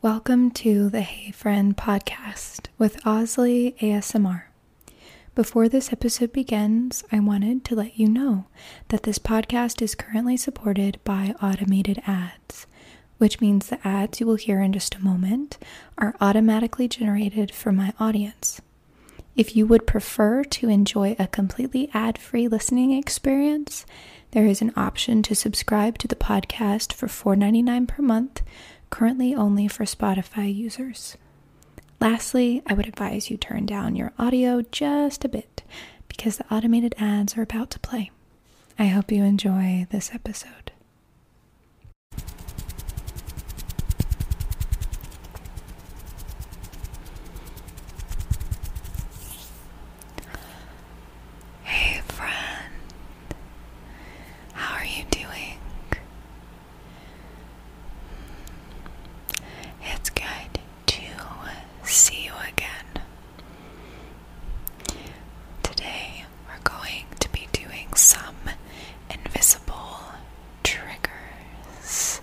Welcome to the Hey Friend podcast with Osley ASMR. Before this episode begins, I wanted to let you know that this podcast is currently supported by automated ads, which means the ads you will hear in just a moment are automatically generated for my audience. If you would prefer to enjoy a completely ad free listening experience, there is an option to subscribe to the podcast for $4.99 per month, currently only for Spotify users. Lastly, I would advise you turn down your audio just a bit because the automated ads are about to play. I hope you enjoy this episode. Hey, friend, how are you doing? It's good to see you again. Today, we're going to be doing some invisible triggers.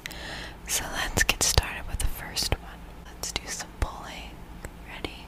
So let's get started with the first one. Let's do some pulling. Ready?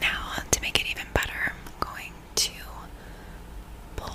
Now, to make it even better, I'm going to pull.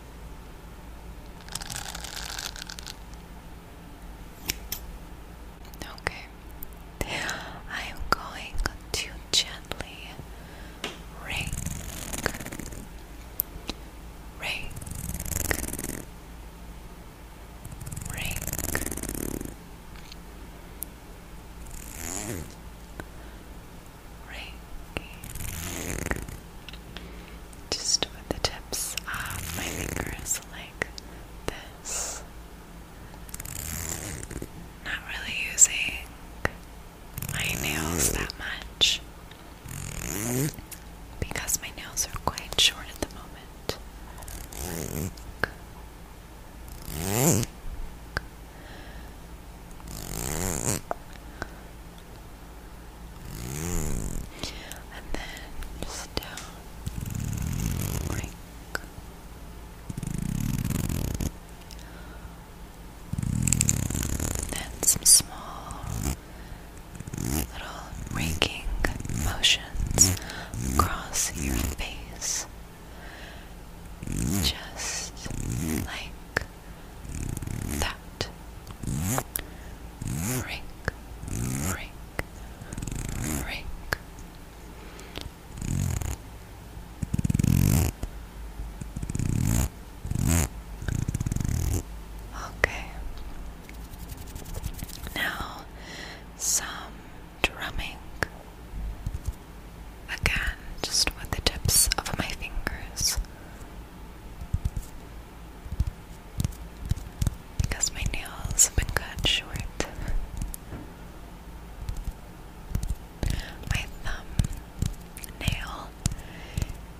Okay, I'm going to gently rake, rake, rake. Just with the tips of my fingers, like this. Not really using my nails that much because my nails are quite short at the moment and then just down like then some small little raking motions across your face just like that. Rake, rake, rake. Okay. Now some drumming. Again, just with the tips of my fingers because my nails have been cut short. My thumb nail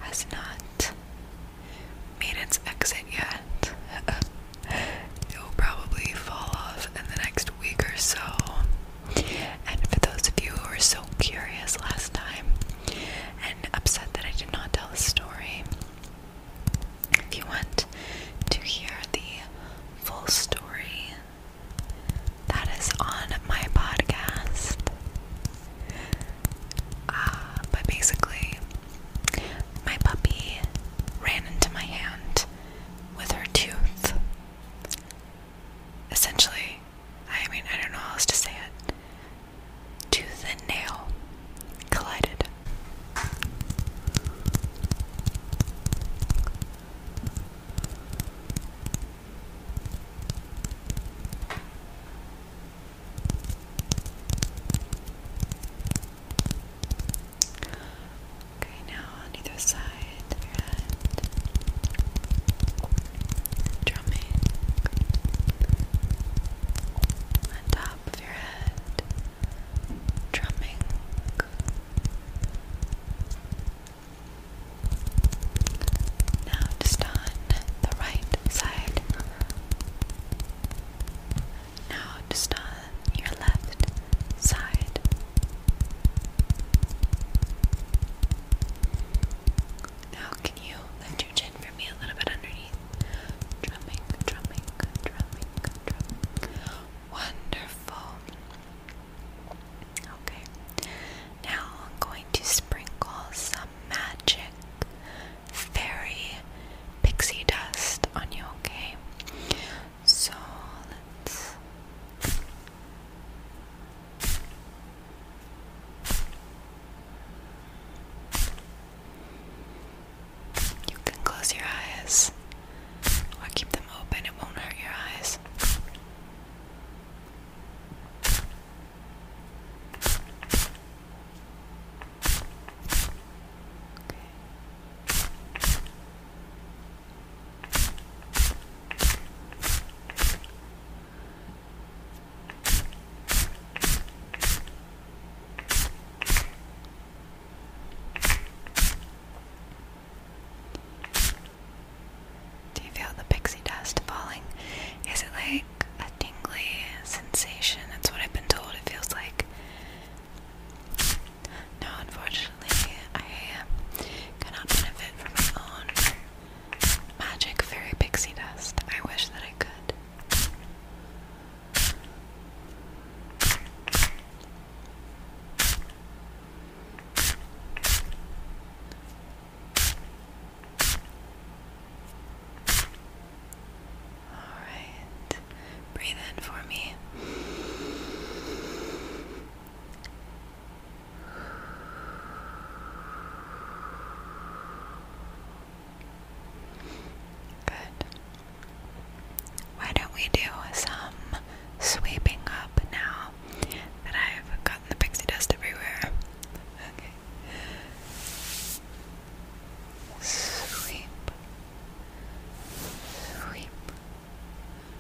has not made its exit yet. it will probably fall off in the next week or so. And for those of you who were so curious last time, and upset that I did not tell the story. If you want to hear the full story, that is on my podcast. Uh, but basically, my puppy ran into my hand with her tooth. Essentially, I mean, I don't know how else to say it. Tooth and nail collided. Okay, now on either side drumming on top of your head, drumming. Now, just on the right side. Now, just on your left side. Now can you lift your chin for me a little bit underneath? Drumming, drumming, drumming, drumming. Wonderful. Okay. Now I'm going to sprinkle some magic fairy pixie dust on you, okay? So let's you can close your eyes or keep them open, it won't hurt your eyes. Do you feel the pixie dust falling? Is it like a tingly sensation? That's what I've been told it feels like. No, unfortunately, I cannot benefit from my own Magic fairy pixie dust. I wish that I could. Alright, breathe in for me. Good. Why don't we do some sweeping up now that I've gotten the pixie dust everywhere? Sweep. Sweep.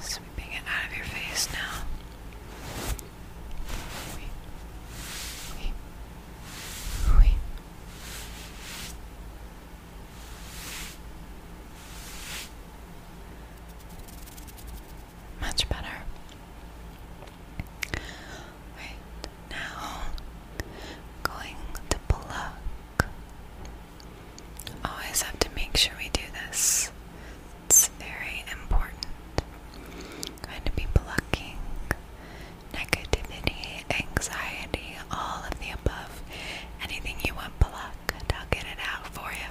Sweeping it out of your face now. Much better. now, going to pluck. Always have to make sure we do this. It's very important. Going to be plucking negativity, anxiety, all of the above. Anything you want plucked, I'll get it out for you.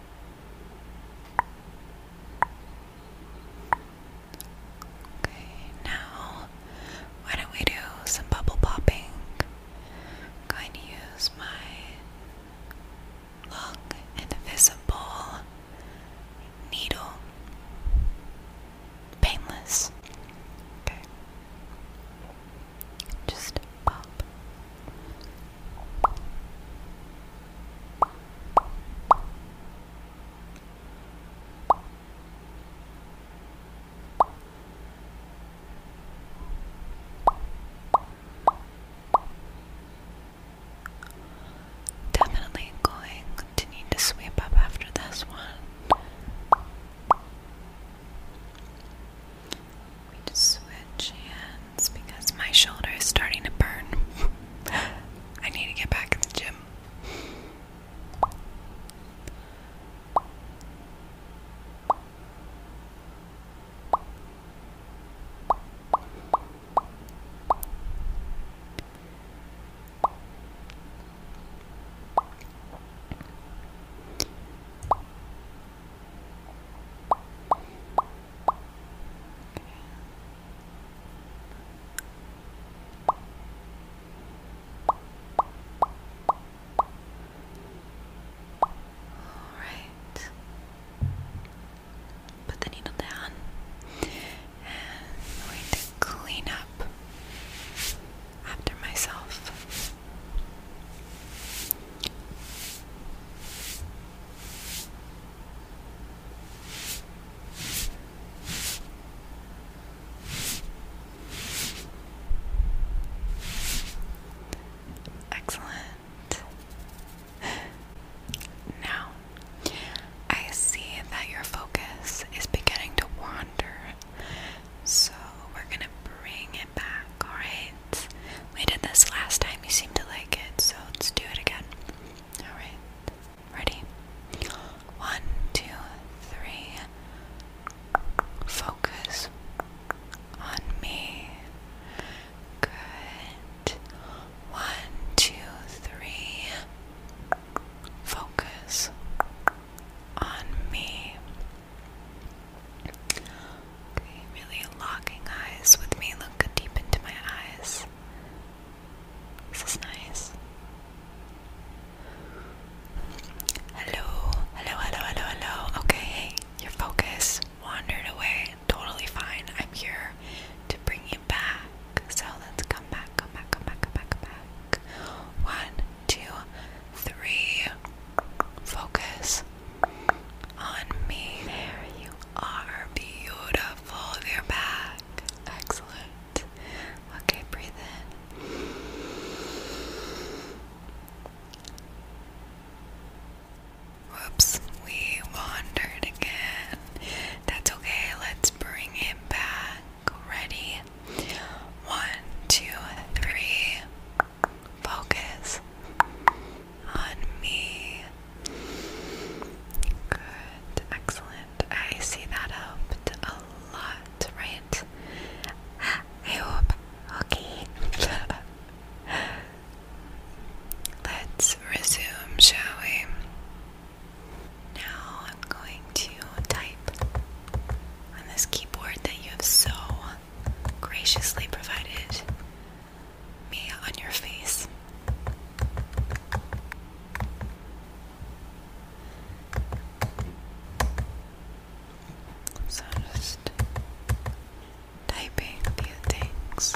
Okay, now why don't we do some bubble popping? I'm use my long, invisible needle. Painless. Okay. Just pop. Definitely going to need to sweep up after this one. We just switch hands because my shoulder is starting to burn. I need to get back in the gym. All right. Put the needle down, and I'm going to clean up after myself. Excellent. Now, I see that your focus is beginning to wander so we're gonna bring it back, alright? We did this last time, you seemed to like it, so let's do it again. Alright, ready? One, two, three. Focus on me. Good. One, two, three. Focus on me really locking eyes with me. Look deep into my eyes. This is nice. Hello, hello, hello, hello, hello. Okay, your focus wandered away. Totally fine. I'm here to bring you back. So let's come back, come back, come back, come back, come back. One, two, three. Focus on me. There you are. Beautiful. You're back. Excellent. Okay, breathe in. Whoops, we wandered again. That's okay. Let's bring it back. Ready? One, two, three. Focus on me. Good, excellent. I see that helped a lot, right? I hope. Okay. Let's resume, shall we? Now I'm going to type on this keyboard that you have so graciously provided me on your face. So I'm just typing a few things.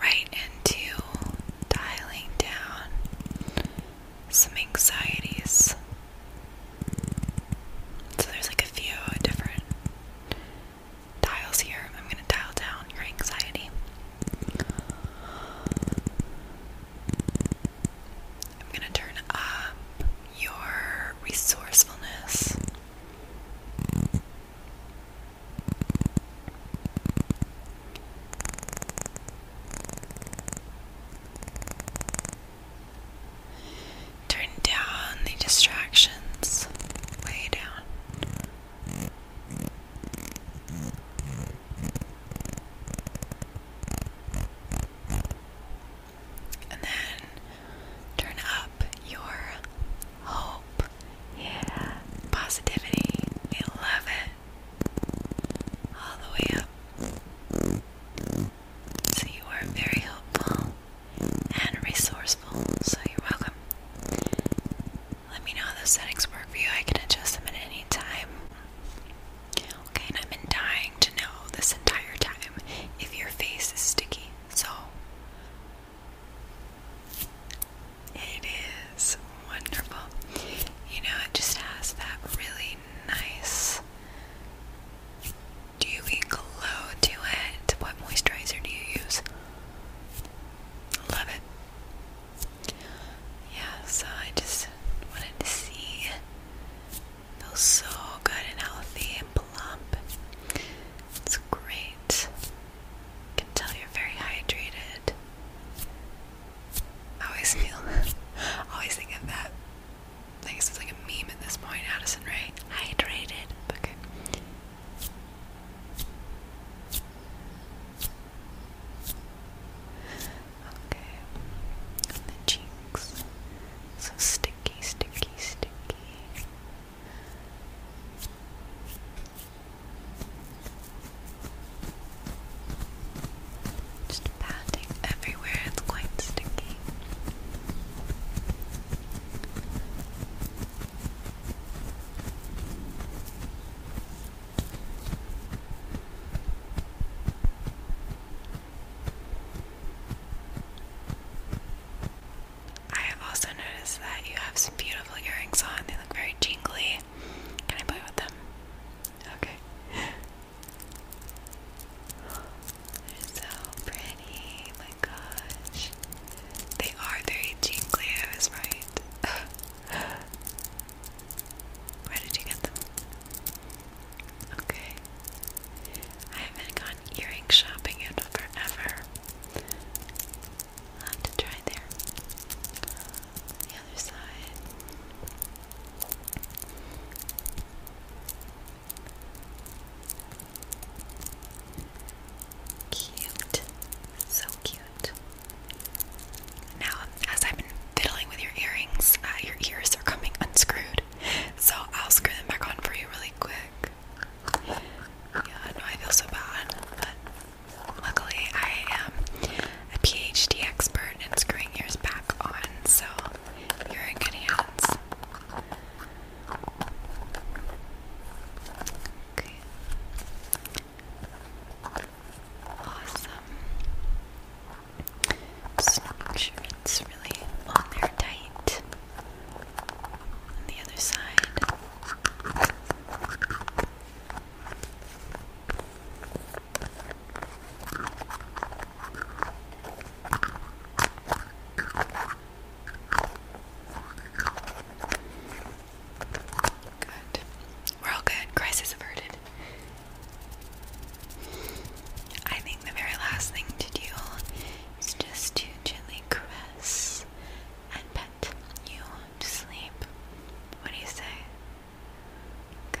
Right into dialing down some anxieties. So there's like a few different dials here. I'm going to dial down your anxiety. I'm going to turn up your resourcefulness. Turn down the distractions way down and then turn up your hope, yeah, positivity. We love it all the way up. So you are very hopeful and resourceful. So you're welcome. Let me know how those settings work for you. I can adjust them at any time. Okay, and I've been dying to know this entire time if your face is sticky. So, it is wonderful. You know, it just has that really nice dewy glow to it. What moisturizer do you use? Love it. Yeah, so I just wanted to see Feels so good and healthy and plump. It's great. I can tell you're very hydrated. I always feel, always think of that. I guess it's like a meme at this point, Addison, Ray. Hydrated. Okay. Okay. the cheeks. So sticky, sticky, sticky. Just patting everywhere, it's quite sticky. I have also noticed that you have some beautiful earrings on. They look very jingly. Can I play with them? Okay. They're so pretty. My gosh. They are very jingly. I was right. Where did you get them? Okay. I haven't gone earring shopping in forever. have to try there. The other side. Cute. So cute. Now, as I've fiddling with your earrings, uh, your ears are coming unscrewed. So I'll screw them back on for you really quick. I know I feel so bad, but luckily I am a PhD expert in screwing yours back on, so you're in good hands. Okay. Awesome. Snatch fits really on there tight. the other side. Good. We're all good. Crisis averted. I think the very last thing to do is just to gently caress and pet you to sleep. What do you say? Okay.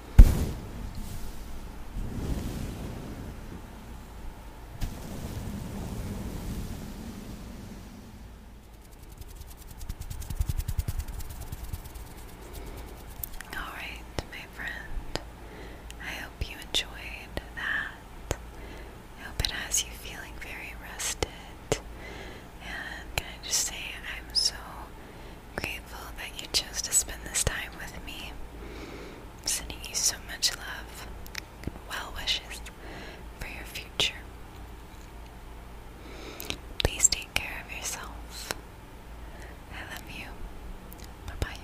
All right, my friend. I hope you enjoyed that. I hope it has you feeling very rested. And can I just say, I'm so Grateful that you chose to spend this time with me. sending you so much love well wishes for your future. Please take care of yourself. I love you. Bye bye.